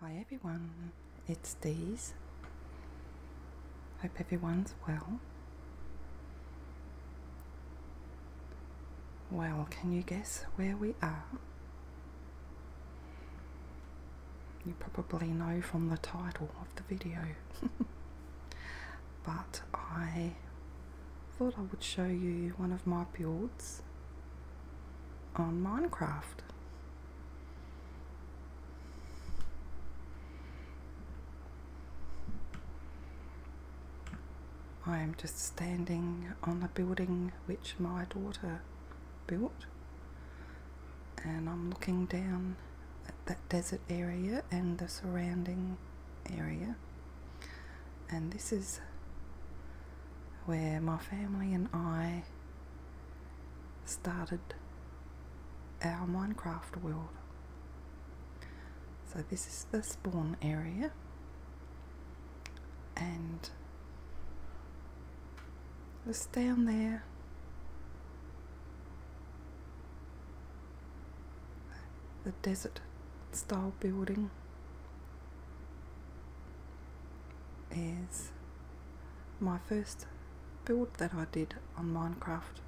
Hi everyone, it's Dee's. Hope everyone's well. Well, can you guess where we are? You probably know from the title of the video, but I thought I would show you one of my builds on Minecraft. I am just standing on a building which my daughter built, and I'm looking down at that desert area and the surrounding area. And this is where my family and I started our Minecraft world. So this is the spawn area and just down there the desert style building is my first build that I did on Minecraft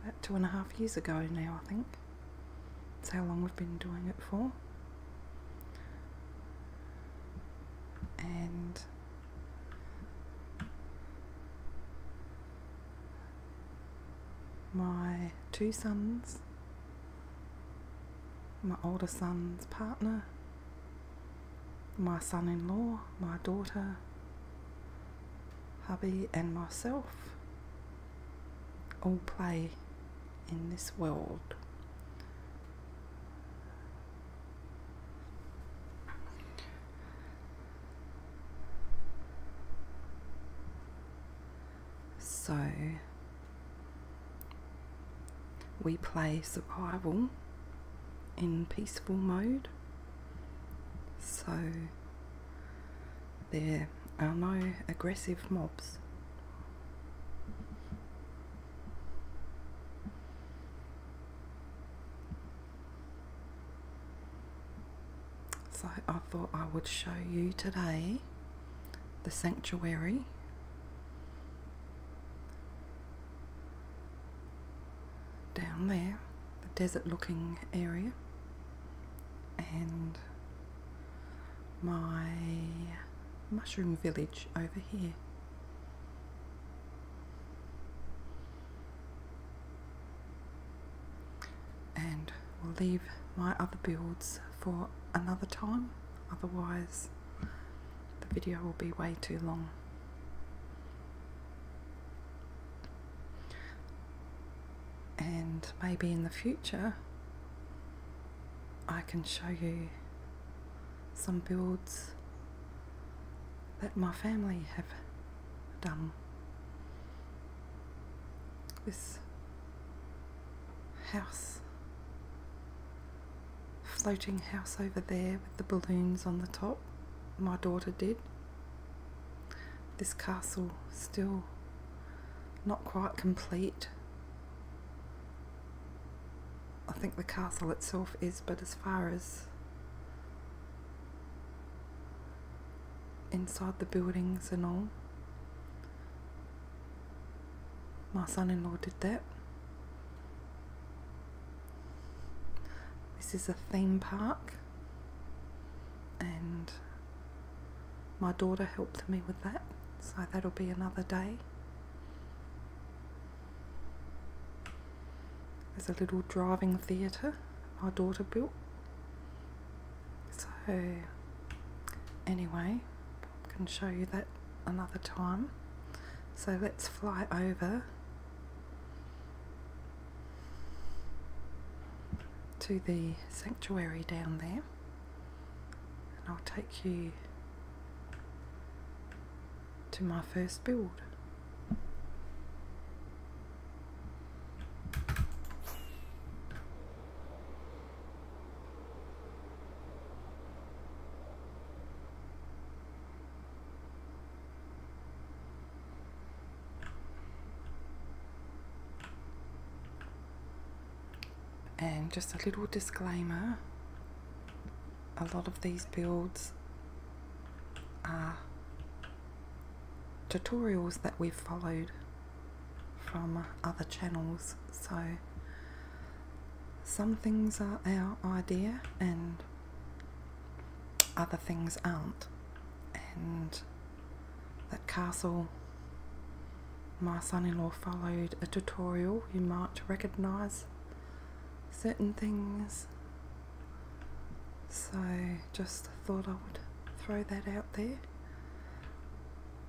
about two and a half years ago now, I think. It's how long we've been doing it for. And my two sons my older son's partner, my son in law, my daughter, hubby, and myself all play in this world. So we play survival in peaceful mode. So there are no aggressive mobs. So I thought I would show you today the sanctuary. Down there, the desert looking area, and my mushroom village over here. And we'll leave my other builds for another time, otherwise, the video will be way too long. And maybe in the future, I can show you some builds that my family have done. This house. Floating house over there with the balloons on the top. My daughter did. This castle still not quite complete. I think the castle itself is, but as far as inside the buildings and all, my son in law did that. This is a theme park, and my daughter helped me with that, so that'll be another day. There's a little driving theatre my daughter built. So, anyway, can show you that another time. So let's fly over to the sanctuary down there and I'll take you to my first build and just a little disclaimer a lot of these builds are tutorials that we've followed from other channels. So some things are our idea and other things aren't. And that castle my son in law followed a tutorial. You might recognize certain things. So just thought I would throw that out there.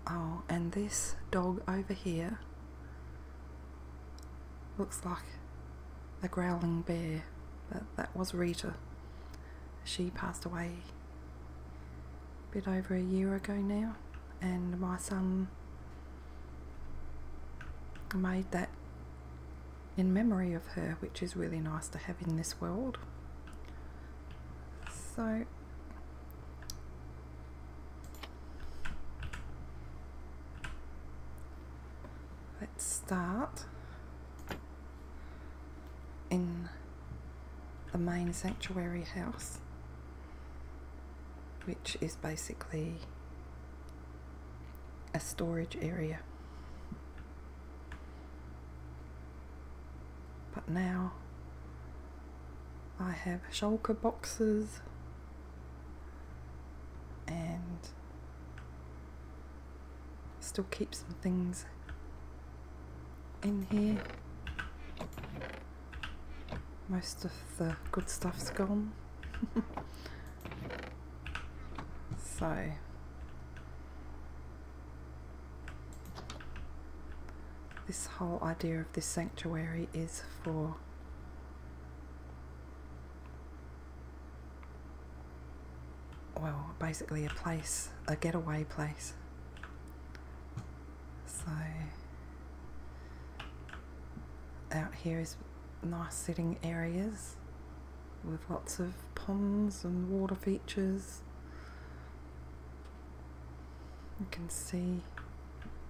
Oh, and this dog over here looks like a growling bear, but that was Rita. She passed away a bit over a year ago now, and my son made that in memory of her, which is really nice to have in this world. So, Let's start in the main sanctuary house, which is basically a storage area. But now I have shulker boxes and still keep some things in here. Most of the good stuff's gone. so this whole idea of this sanctuary is for well, basically a place, a getaway place. So out here is nice sitting areas with lots of ponds and water features you can see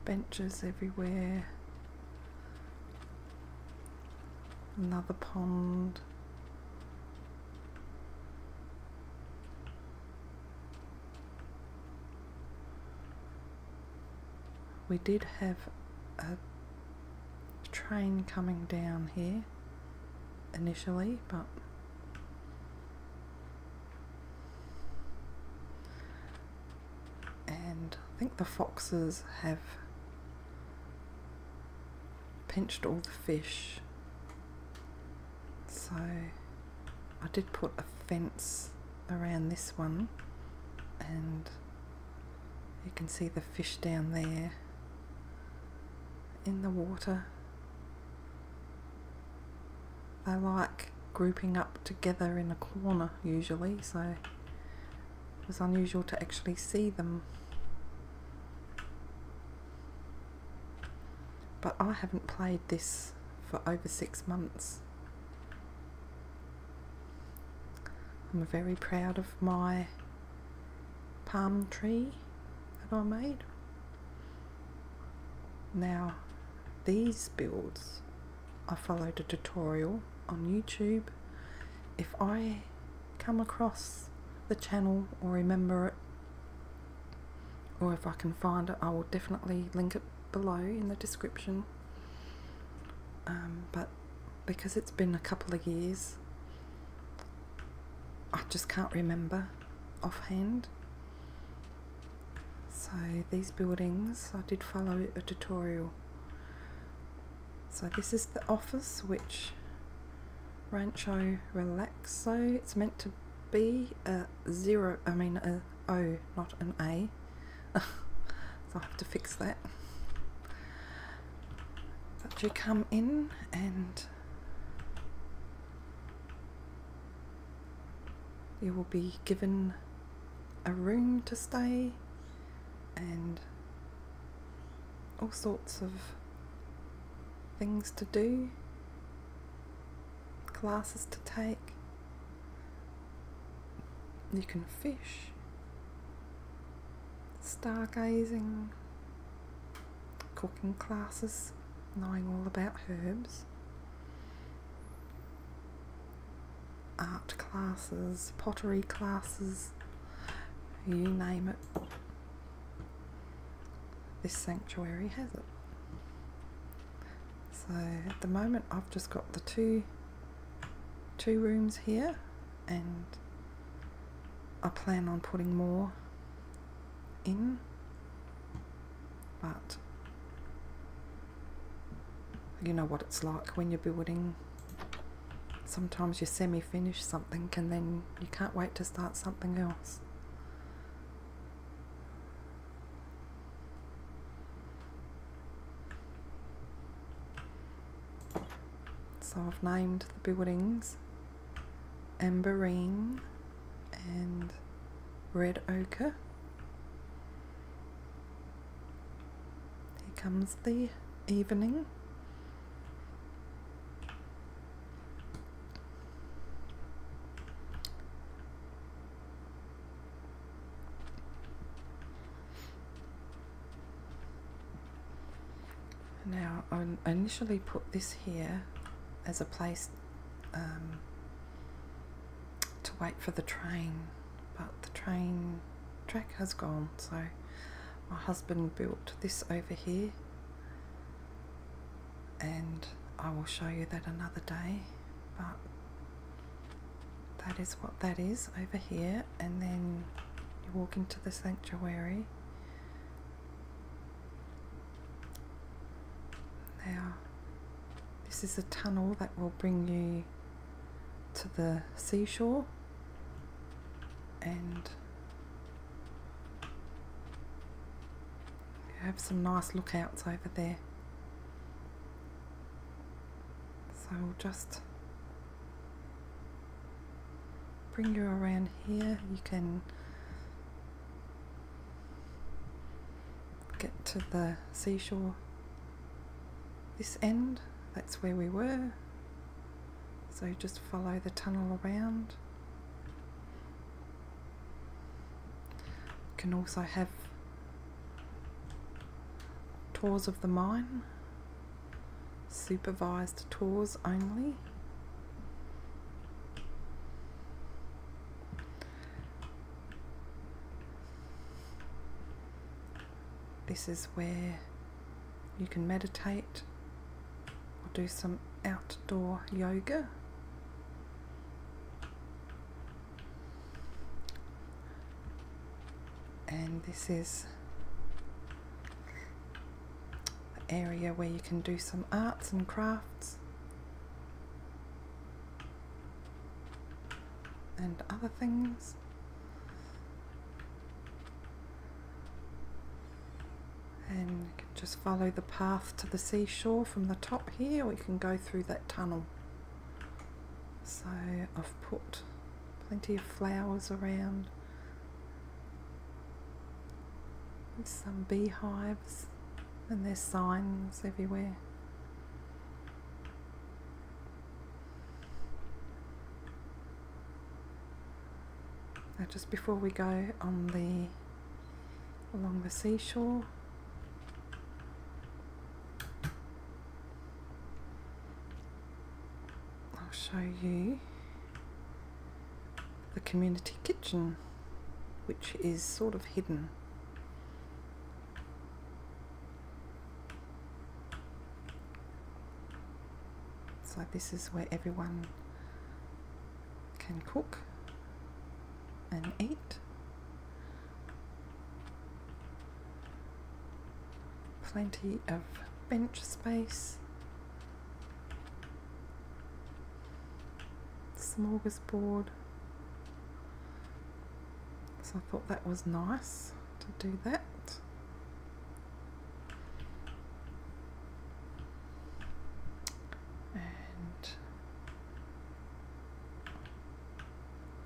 benches everywhere. Another pond. We did have a train coming down here initially, but and I think the foxes have pinched all the fish. So I did put a fence around this one and you can see the fish down there in the water they like grouping up together in a corner usually, so it was unusual to actually see them. But I haven't played this for over six months. I'm very proud of my palm tree that I made. Now, these builds, I followed a tutorial on YouTube. If I come across the channel or remember it, or if I can find it, I will definitely link it below in the description. Um, but because it's been a couple of years, I just can't remember offhand. So these buildings, I did follow a tutorial. So this is the office, which Rancho Relaxo, it's meant to be a zero, I mean a O, not an A. so have to fix that. But you come in and you will be given a room to stay and all sorts of things to do, classes to take. You can fish, stargazing, cooking classes, knowing all about herbs art classes, pottery classes, you name it. This sanctuary has it. So at the moment I've just got the two two rooms here and I plan on putting more in but you know what it's like when you're building sometimes you semi-finish something and then you can't wait to start something else so I've named the buildings Emberine and red ochre. Here comes the evening. Now I initially put this here as a place um, to wait for the train, but the train track has gone, so my husband built this over here, and I will show you that another day, but that is what that is over here, and then you walk into the sanctuary now, this is a tunnel that will bring you to the seashore and you have some nice lookouts over there. So just bring you around here. You can get to the seashore this end, that's where we were. So just follow the tunnel around. Can also have tours of the mine, supervised tours only. This is where you can meditate or do some outdoor yoga. And this is the area where you can do some arts and crafts and other things. And just follow the path to the seashore from the top here, We can go through that tunnel. So I've put plenty of flowers around with some beehives. And there's signs everywhere. Now just before we go on the along the seashore I'll show you the community kitchen which is sort of hidden it's like this is where everyone can cook and eat. Plenty of bench space. Smorgasbord. So I thought that was nice to do that. And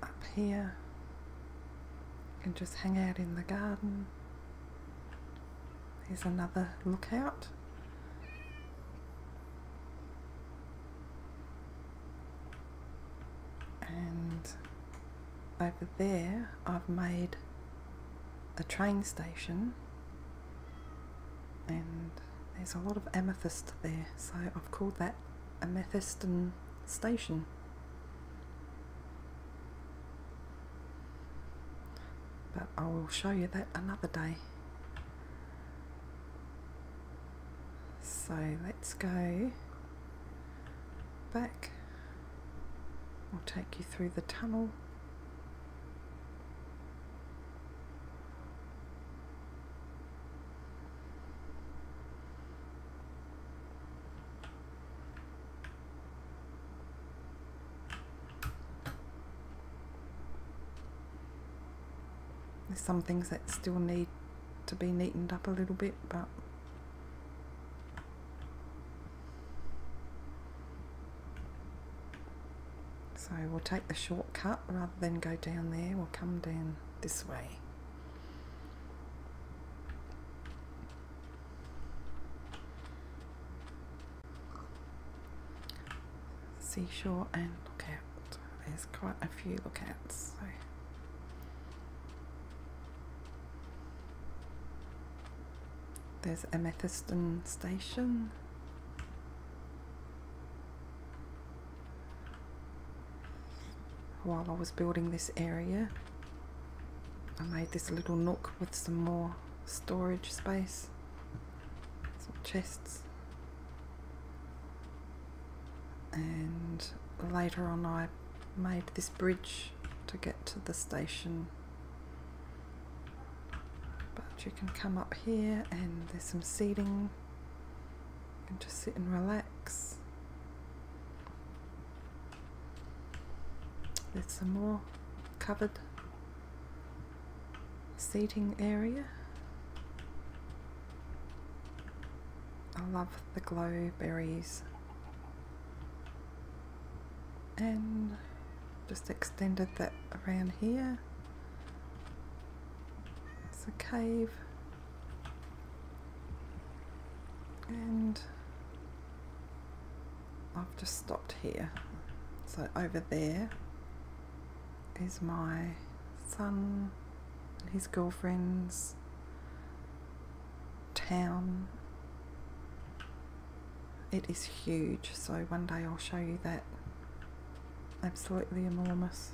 up here, you can just hang out in the garden. Here's another lookout. And over there, I've made a train station, and there's a lot of amethyst there, so I've called that Amethystan Station. But I will show you that another day. So let's go back. I'll take you through the tunnel. There's some things that still need to be neatened up a little bit, but so we'll take the shortcut rather than go down there, we'll come down this way seashore and lookout. There's quite a few lookouts. So. There's Amethyston Station. While I was building this area, I made this little nook with some more storage space some chests. And later on, I made this bridge to get to the station. But you can come up here, and there's some seating. You can just sit and relax. There's some more cupboard seating area. I love the glow berries and just extended that around here. It's a cave and I've just stopped here so over there is my son and his girlfriend's town. It is huge, so one day I'll show you that. Absolutely enormous.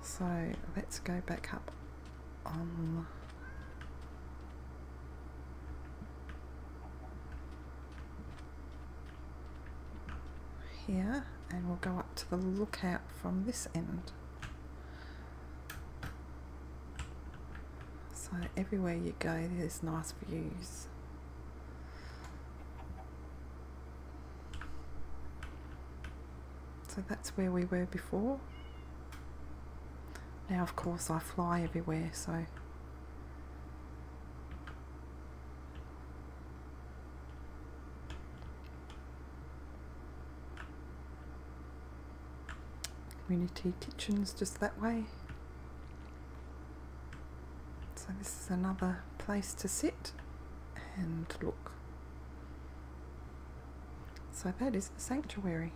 So let's go back up um. Here, and we'll go up to the lookout from this end. So everywhere you go, there's nice views. So that's where we were before. Now, of course, I fly everywhere, so. Community kitchens just that way. So this is another place to sit and look. So that is the sanctuary.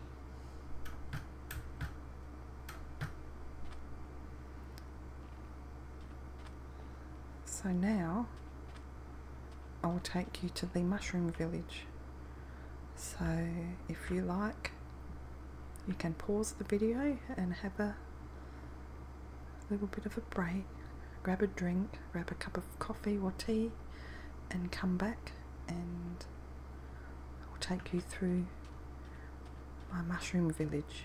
So now I will take you to the mushroom village. So if you like, you can pause the video and have a little bit of a break grab a drink, grab a cup of coffee or tea, and come back and I'll take you through my mushroom village.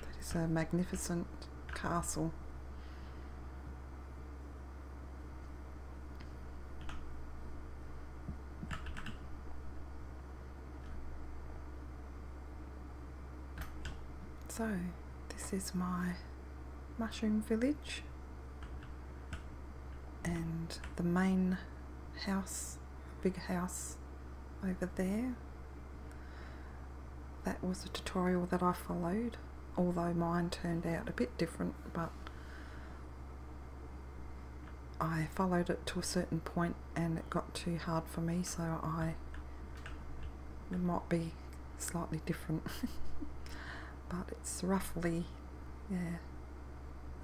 That is a magnificent castle. So, this is my mushroom village and the main house, big house over there that was the tutorial that I followed, although mine turned out a bit different, but I followed it to a certain point and it got too hard for me, so I might be slightly different. but it's roughly, yeah,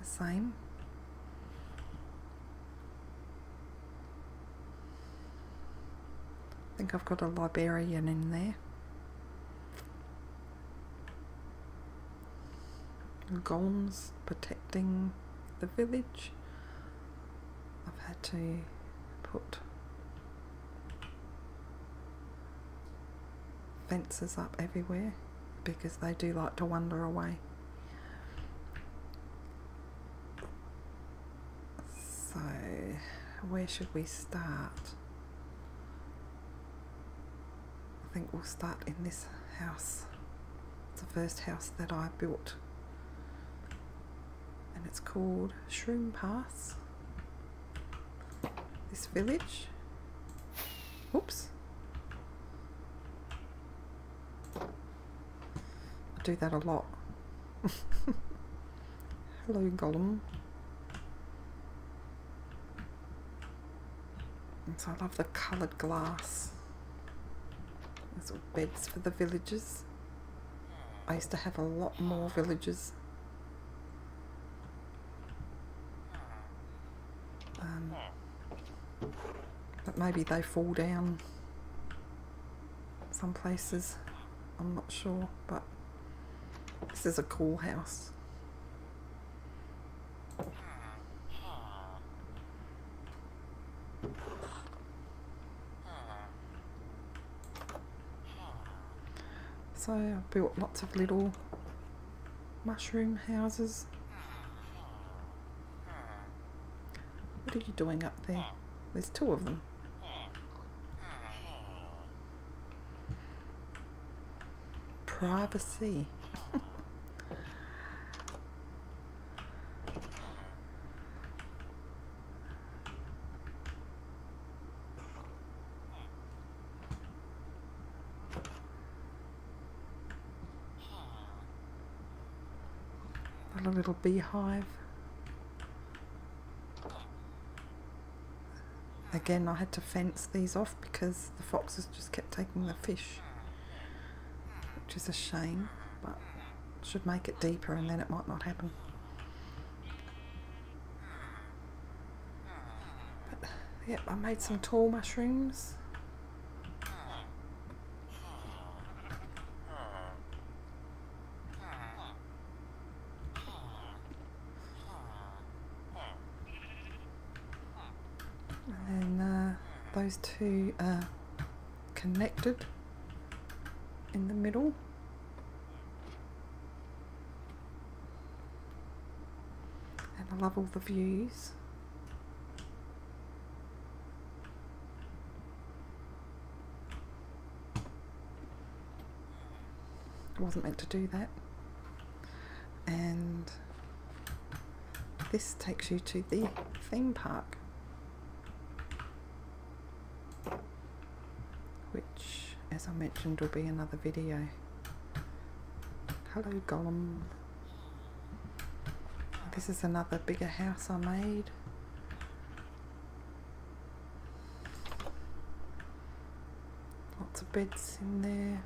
the same. I think I've got a Liberian in there. Golems protecting the village. I've had to put fences up everywhere because they do like to wander away. So, where should we start? I think we'll start in this house. It's the first house that I built. And it's called Shroom Pass. This village. Oops. I do that a lot. Hello, Gollum. I love the coloured glass. There's all beds for the villagers. I used to have a lot more villagers. Um, but maybe they fall down some places. I'm not sure, but this is a cool house. So I built lots of little mushroom houses. What are you doing up there? There's two of them. Privacy. Another little beehive. Again, I had to fence these off because the foxes just kept taking the fish, which is a shame, but should make it deeper and then it might not happen. But, yep, I made some tall mushrooms. And then uh, those two are connected in the middle. And I love all the views. It wasn't meant to do that. And this takes you to the theme park. Which, as I mentioned, will be another video. Hello Gollum. This is another bigger house I made. Lots of beds in there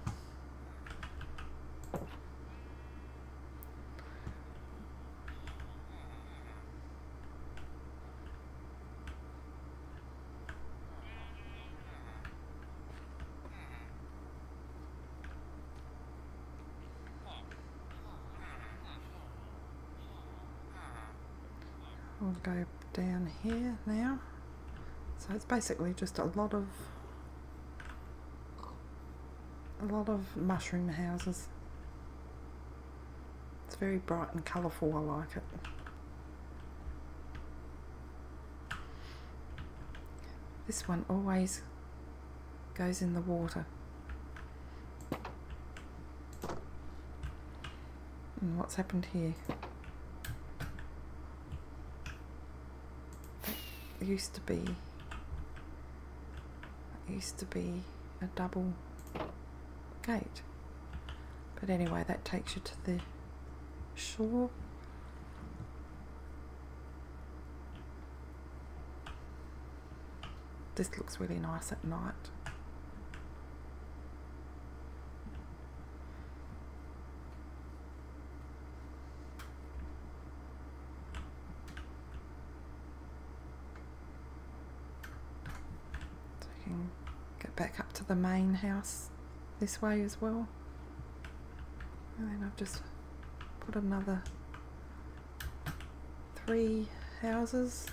i will go down here now. So it's basically just a lot of a lot of mushroom houses. It's very bright and colourful, I like it. This one always goes in the water. And what's happened here? That used to be that used to be a double gate. But anyway, that takes you to the shore. This looks really nice at night. So you can get back up to the main house this way as well. And then I've just put another three houses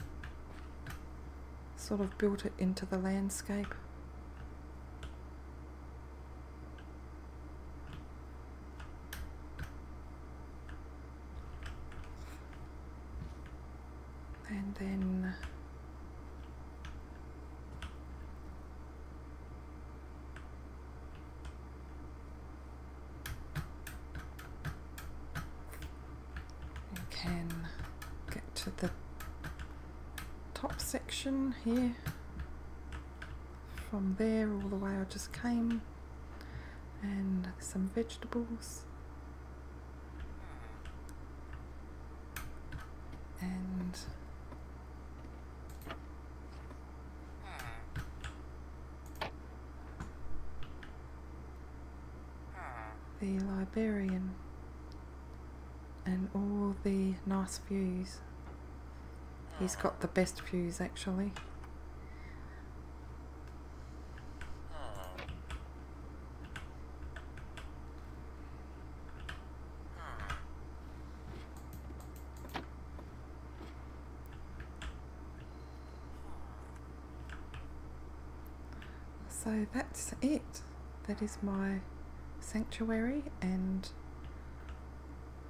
sort of built it into the landscape and then we can get to the top section here from there all the way I just came and some vegetables and the librarian, and all the nice views. He's got the best views actually. So that's it. That is my sanctuary and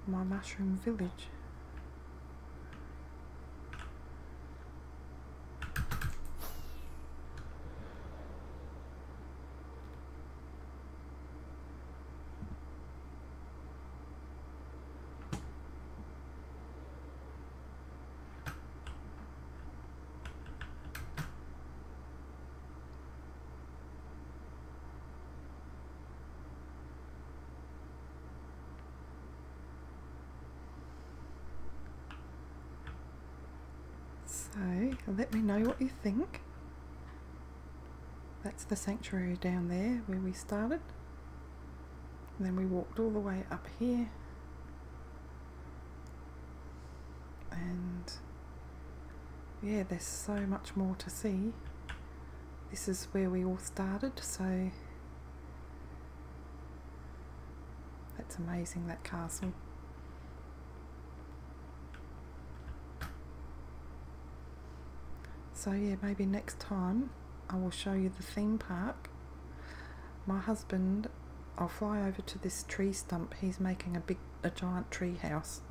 my mushroom village. So let me know what you think. That's the sanctuary down there where we started then we walked all the way up here and yeah there's so much more to see this is where we all started so that's amazing that castle so yeah maybe next time I will show you the theme park. My husband, I'll fly over to this tree stump. He's making a big, a giant tree house.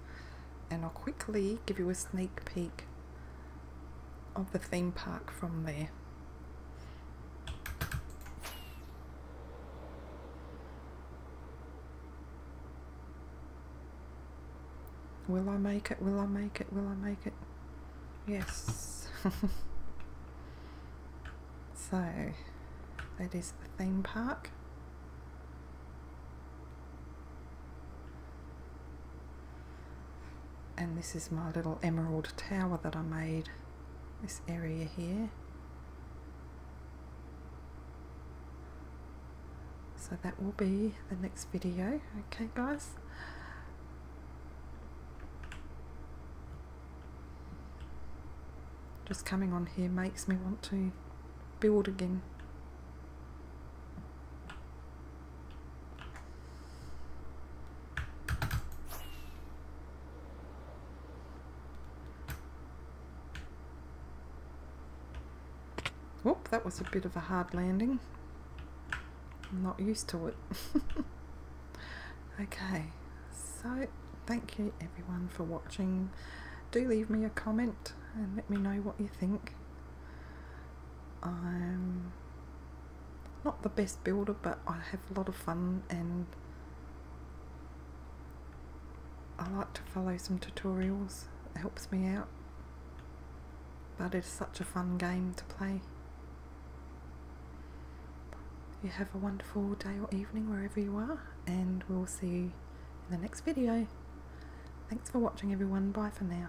And I'll quickly give you a sneak peek of the theme park from there. Will I make it? Will I make it? Will I make it? Yes. so, that is the theme park. And this is my little emerald tower that I made. This area here. So that will be the next video. Okay guys. Just coming on here makes me want to build again. Whoop, that was a bit of a hard landing. I'm not used to it. okay, so thank you everyone for watching. Do leave me a comment and let me know what you think. I'm not the best builder, but I have a lot of fun and I like to follow some tutorials. It helps me out but it's such a fun game to play. You have a wonderful day or evening wherever you are, and we'll see you in the next video. Thanks for watching, everyone. Bye for now.